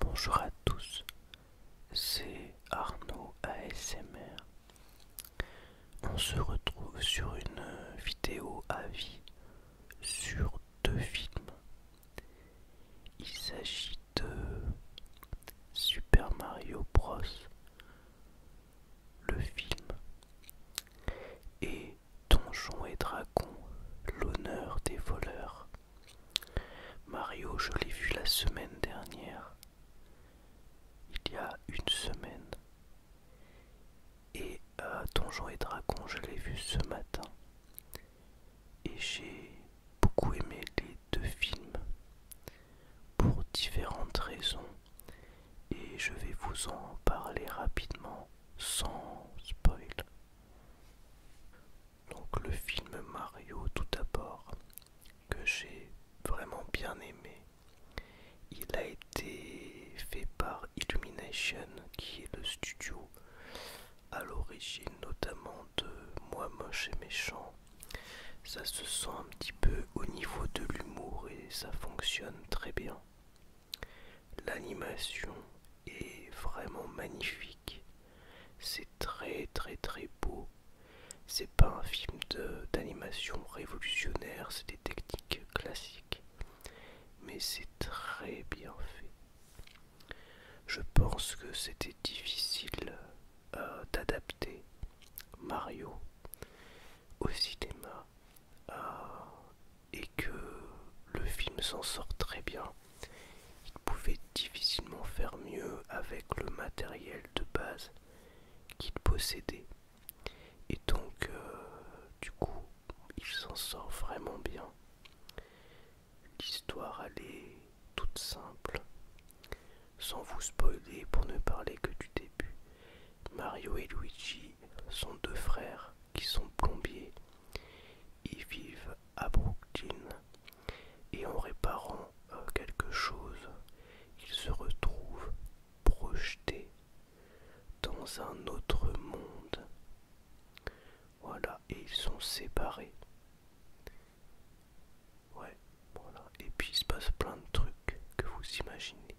Bonjour à tous, c'est Arnaud ASMR. On se retrouve sur une vidéo à vie sur deux films. Il s'agit de Super Mario Bros. Le film et Donjon et Dragon, l'honneur des voleurs. Mario, je l'ai vu la semaine dernière, il y a une semaine, et euh, Donjon et Dragon, je l'ai vu ce matin, et j'ai beaucoup aimé les deux films pour différentes raisons et je vais vous en parler rapidement sans spoil. Donc le film Mario tout d'abord que j'ai vraiment bien aimé. Il a été fait par Illumination qui est le studio à l'origine notamment de Moi moche et méchant ça se sent un petit peu au niveau de l'humour et ça fonctionne très bien. L'animation est vraiment magnifique. C'est très très très beau. C'est pas un film d'animation révolutionnaire, c'est des techniques classiques. Mais c'est très bien fait. Je pense que c'était difficile euh, d'adapter Mario au cinéma euh, et que le film s'en sort très bien. Il pouvait difficilement faire mieux avec le matériel de base qu'il possédait. Et donc, euh, du coup, il s'en sort vraiment bien. L'histoire, elle est toute simple. Sans vous spoiler pour ne parler que du début, Mario et Luigi sont deux frères qui sont plombiers. Ils vivent à Brooklyn et en réparant euh, quelque chose, ils se retrouvent projetés dans un autre monde. Voilà, et ils sont séparés. Ouais, voilà. Et puis il se passe plein de trucs que vous imaginez.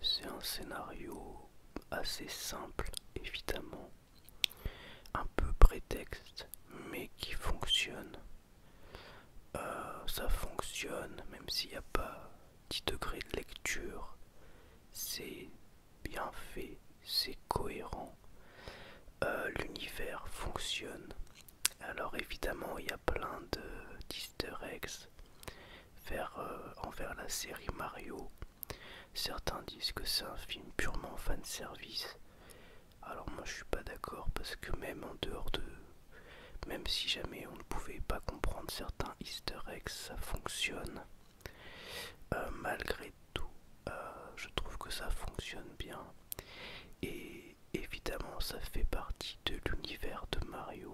C'est un scénario assez simple, évidemment. Un peu prétexte, mais qui fonctionne. Euh, ça fonctionne, même s'il n'y a pas 10 degrés de lecture. C'est bien fait, c'est cohérent. Euh, l'univers fonctionne. Alors évidemment, il y a plein de d'easter eggs vers, euh, envers la série Mario. Certains disent que c'est un film purement fan service. Alors moi je suis pas d'accord parce que même en dehors de... Même si jamais on ne pouvait pas comprendre certains easter eggs, ça fonctionne. Euh, malgré malgré euh, je trouve que ça fonctionne bien. Et évidemment, ça fait partie de l'univers de Mario.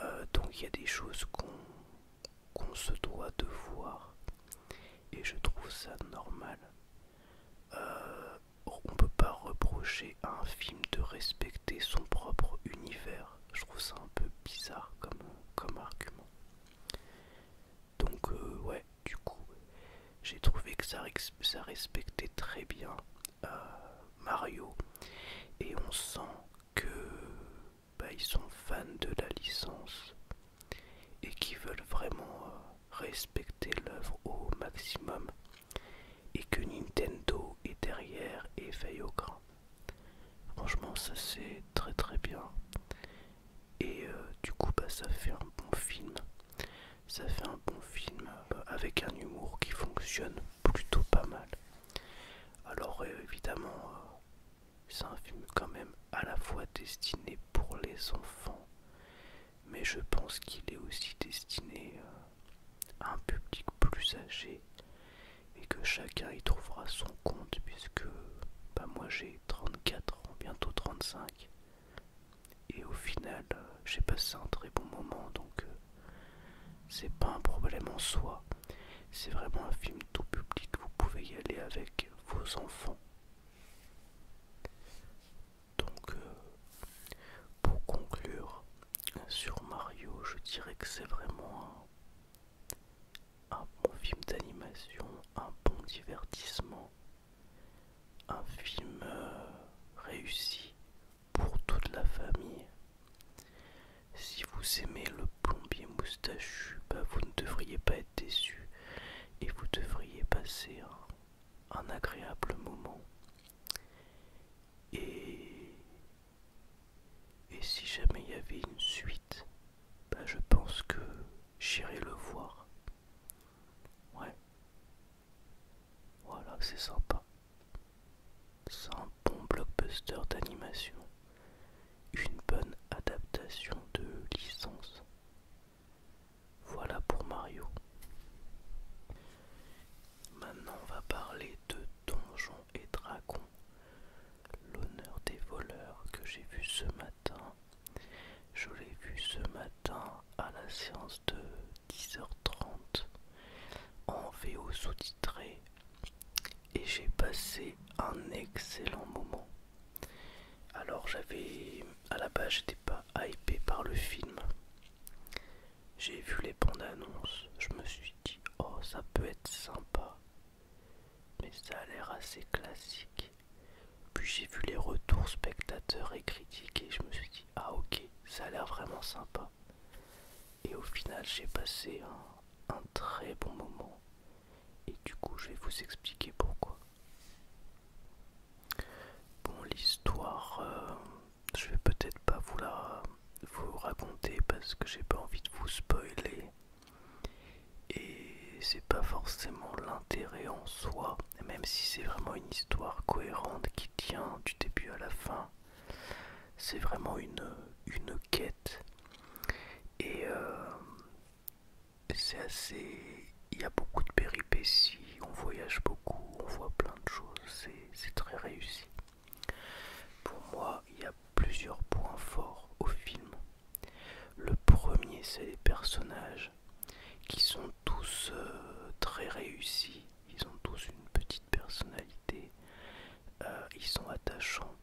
Euh, donc il y a des choses qu'on se doit de voir. Et je trouve ça normal. Euh, on ne peut pas reprocher à un film de respecter son propre univers. Je trouve ça un peu bizarre comme argument. Donc euh, ouais, du coup, j'ai trouvé que ça, respectait très bien euh, Mario. Et on sent que bah, ils sont fans de la licence et qui veulent vraiment euh, respecter l'œuvre au maximum et que Nintendo est derrière et veille au grain. Franchement ça c'est très très bien et euh, du coup bah, ça fait un bon film ça fait un bon film bah, avec un humour qui fonctionne plutôt pas mal alors euh, évidemment euh, c'est un film quand même à la fois destiné pour les enfants mais je pense qu'il est aussi destiné à un public plus âgé et que chacun y trouvera son compte puisque bah, moi j'ai 34 ans bientôt 35 et au final, euh, j'ai passé un très bon moment, donc euh, c'est pas un problème en soi. C'est vraiment un film tout public, vous pouvez y aller avec vos enfants. Donc, euh, pour conclure sur Mario, je dirais que c'est vraiment un bon film d'animation, un bon divertissement un film euh, réussi pour toute la famille. Si vous aimez le plombier moustachu, bah, vous ne devriez pas être déçu et vous devriez passer un, agréable moment. Et, si jamais il y avait une suite, bah, je pense que j'irai le voir. Ouais. Voilà, c'est sympa. C'est un bon blockbuster d'animation. Une bonne adaptation de licence. Voilà pour Mario. Maintenant, on va parler de Donjons et Dragons. L'honneur des voleurs que j'ai vu ce matin je l'ai vu ce matin à la séance de 10h30 en VO sous-titré et j'ai passé un excellent moment. Alors j'avais à la base j'étais pas hypé par le film. J'ai vu les bandes annonces, je me suis dit oh ça peut être sympa. Mais ça a l'air assez classique. Puis j'ai vu les retours spectateurs et critiques et je me suis dit ah ok ça a l'air vraiment sympa. Et au final j'ai passé un, très bon moment. Et du coup je vais vous expliquer pourquoi. Bon l'histoire euh, je vais peut-être pas vous la vous raconter parce que j'ai pas envie de vous spoiler. Et c'est pas forcément l'intérêt en soi, même si c'est vraiment une histoire cohérente qui tient du début à la fin. C'est vraiment une, quête. Et euh, c'est assez. Il y a beaucoup de péripéties, on voyage beaucoup, on voit plein de choses, c'est très réussi. Pour moi, il y a plusieurs points forts au film. Le premier, c'est les personnages qui sont tous euh, très réussis, ils ont tous une petite personnalité, euh, ils sont attachants.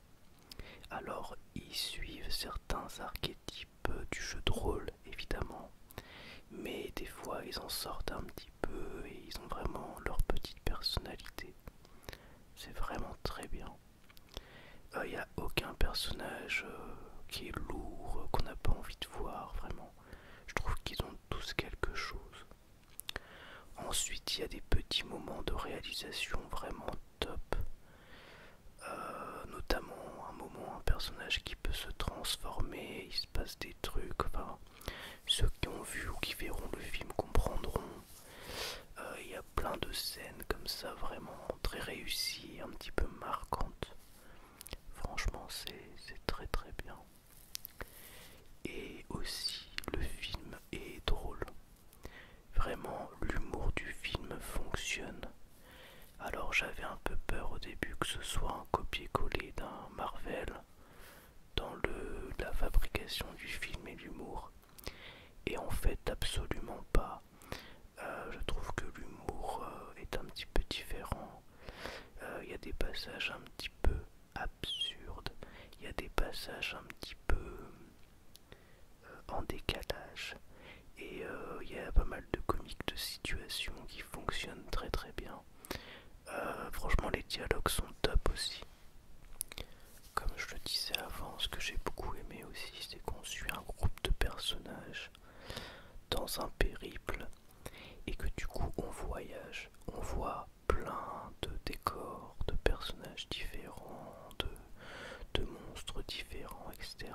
Alors, ils suivent certains archétypes du jeu de rôle, évidemment, mais des fois, ils en sortent un petit peu et ils ont vraiment leur petite personnalité. C'est vraiment très bien. Il euh, n'y a aucun personnage euh, qui est lourd, euh, qu'on n'a pas envie de voir, vraiment. Je trouve qu'ils ont tous quelque chose. Ensuite, il y a des petits moments de réalisation vraiment top. notamment un moment, un personnage qui peut se transformer, il se passe des trucs. Enfin, ceux qui ont vu ou qui verront le film comprendront plein de scènes comme ça, vraiment très réussies, un petit peu marquantes. Franchement, c'est très très bien. Et aussi, le film est drôle. Vraiment, l'humour du film fonctionne. Alors j'avais un peu peur au début que ce soit un copier-coller d'un Marvel dans le, la fabrication du film et l'humour. Et en fait, absolument pas. Euh, je trouve que l'humour euh, est un petit peu différent. Euh, il y a des passages un petit peu absurdes. Il y a des passages un petit peu en décalage. Et il y a pas mal de comiques de situation qui fonctionnent très très bien. franchement, les dialogues sont top aussi. Comme je le disais avant, ce que j'ai beaucoup aimé aussi, c'est qu'on suit un groupe de personnages dans un périple et que du coup on voyage, on voit plein de décors, de personnages différents, de, monstres différents, etc.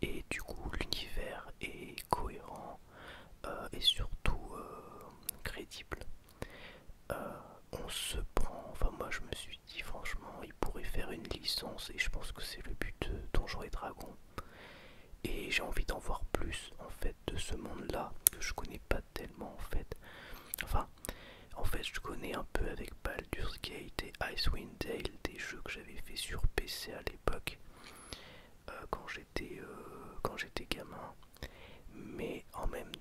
Et du coup l'univers est cohérent euh, et surtout euh, crédible. Euh, on se prend, enfin moi je me suis dit franchement il pourrait faire une licence et je pense que c'est le but de Donjons et Dragons et j'ai envie d'en voir plus en fait de ce monde là que je connais pas tellement en fait enfin en fait je connais un peu avec Baldur's Gate et Icewind Dale des jeux que j'avais fait sur PC à l'époque euh, quand j'étais euh, quand j'étais gamin mais en même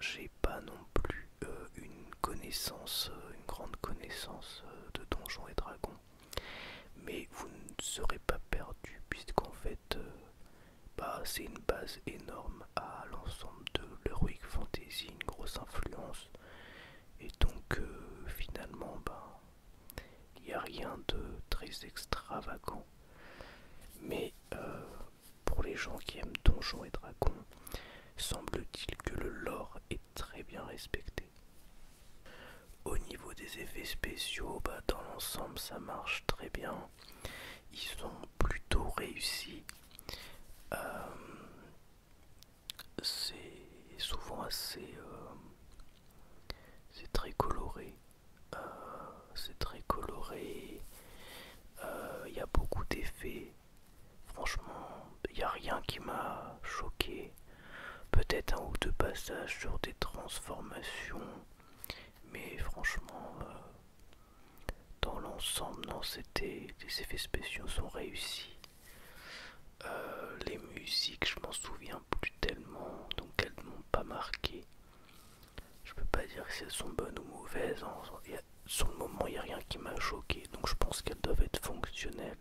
j'ai pas non plus euh, une connaissance, euh, une grande connaissance euh, de Donjons et Dragons. Mais vous ne serez pas perdu puisqu'en fait, bah, c'est une base énorme à l'ensemble de l'Heroic Fantasy, une grosse influence. Et donc finalement, bah, il n'y a rien de très extravagant. Mais pour les gens qui aiment Donjons et Dragons, semble-t-il que le lore est très bien respecté. Au niveau des effets spéciaux, bah, dans l'ensemble ça marche très bien. Ils sont plutôt réussis. Euh, c'est souvent assez... Euh, c'est très coloré. Euh, c'est très coloré. Il y a beaucoup d'effets. Franchement, il n'y a rien qui m'a choqué. Peut-être un ou deux passages sur des transformations. Mais franchement, euh, dans l'ensemble, non, c'était. Les effets spéciaux sont réussis. Euh, les musiques, je m'en souviens plus tellement, donc elles ne m'ont pas marqué. Je peux pas dire si elles sont bonnes ou mauvaises sur le moment, il n'y a rien qui m'a choqué, donc je pense qu'elles doivent être fonctionnelles.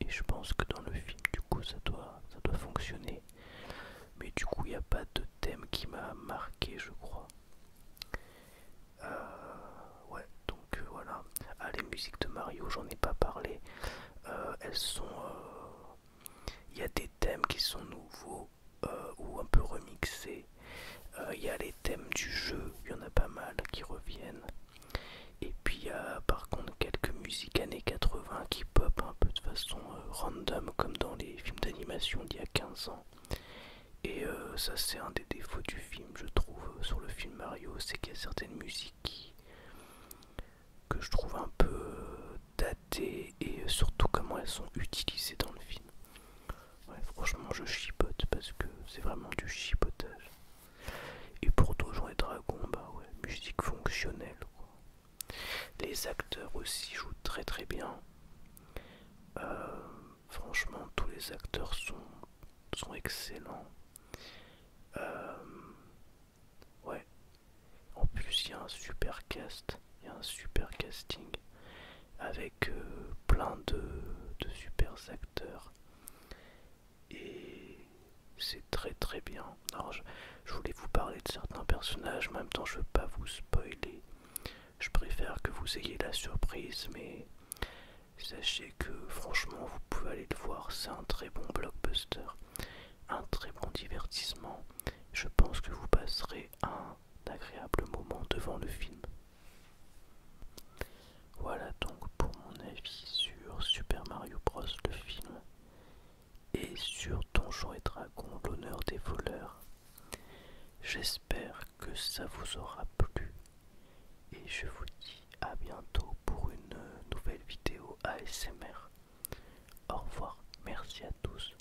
Et je pense que dans le film, du coup, ça doit, ça doit fonctionner. Mais du coup, il n'y a pas de thème qui m'a marqué, je crois. Euh, ouais, donc euh, voilà. Ah, les musiques de Mario, j'en ai pas parlé. Euh, elles sont. Il y a des thèmes qui sont nouveaux. Euh, ou un peu remixé Il euh, y a les thèmes du jeu, il y en a pas mal qui reviennent. Et puis il y a par contre quelques musiques années 80 qui pop un peu de façon euh, random comme dans les films d'animation d'il y a 15 ans. Et ça c'est un des défauts du film je trouve sur le film Mario, c'est qu'il y a certaines musiques que je trouve un peu datées et surtout comment elles sont utilisées dans le film. Ouais, franchement, je chipote parce que c'est vraiment du chipotage. Et pour toujours et dragon, bah ouais, musique fonctionnelle. Les acteurs aussi jouent très très bien. Euh, franchement, tous les acteurs sont, excellents. Euh, ouais. En plus, il y a un super cast, il y a un super casting avec euh, plein de, super acteurs et c'est très très bien. je, voulais vous parler de certains personnages, en même temps je ne veux pas vous spoiler. Je préfère que vous ayez la surprise, mais sachez que franchement vous pouvez aller le voir, c'est un très bon blockbuster, un très bon divertissement. Je pense que vous passerez un agréable moment devant le film. Voilà donc pour mon avis sur Super Mario Bros. le film et sur Donjons et Dragon l'honneur des voleurs. J'espère que ça vous aura plu et je vous dis à bientôt pour une nouvelle vidéo ASMR. Au revoir, merci à tous.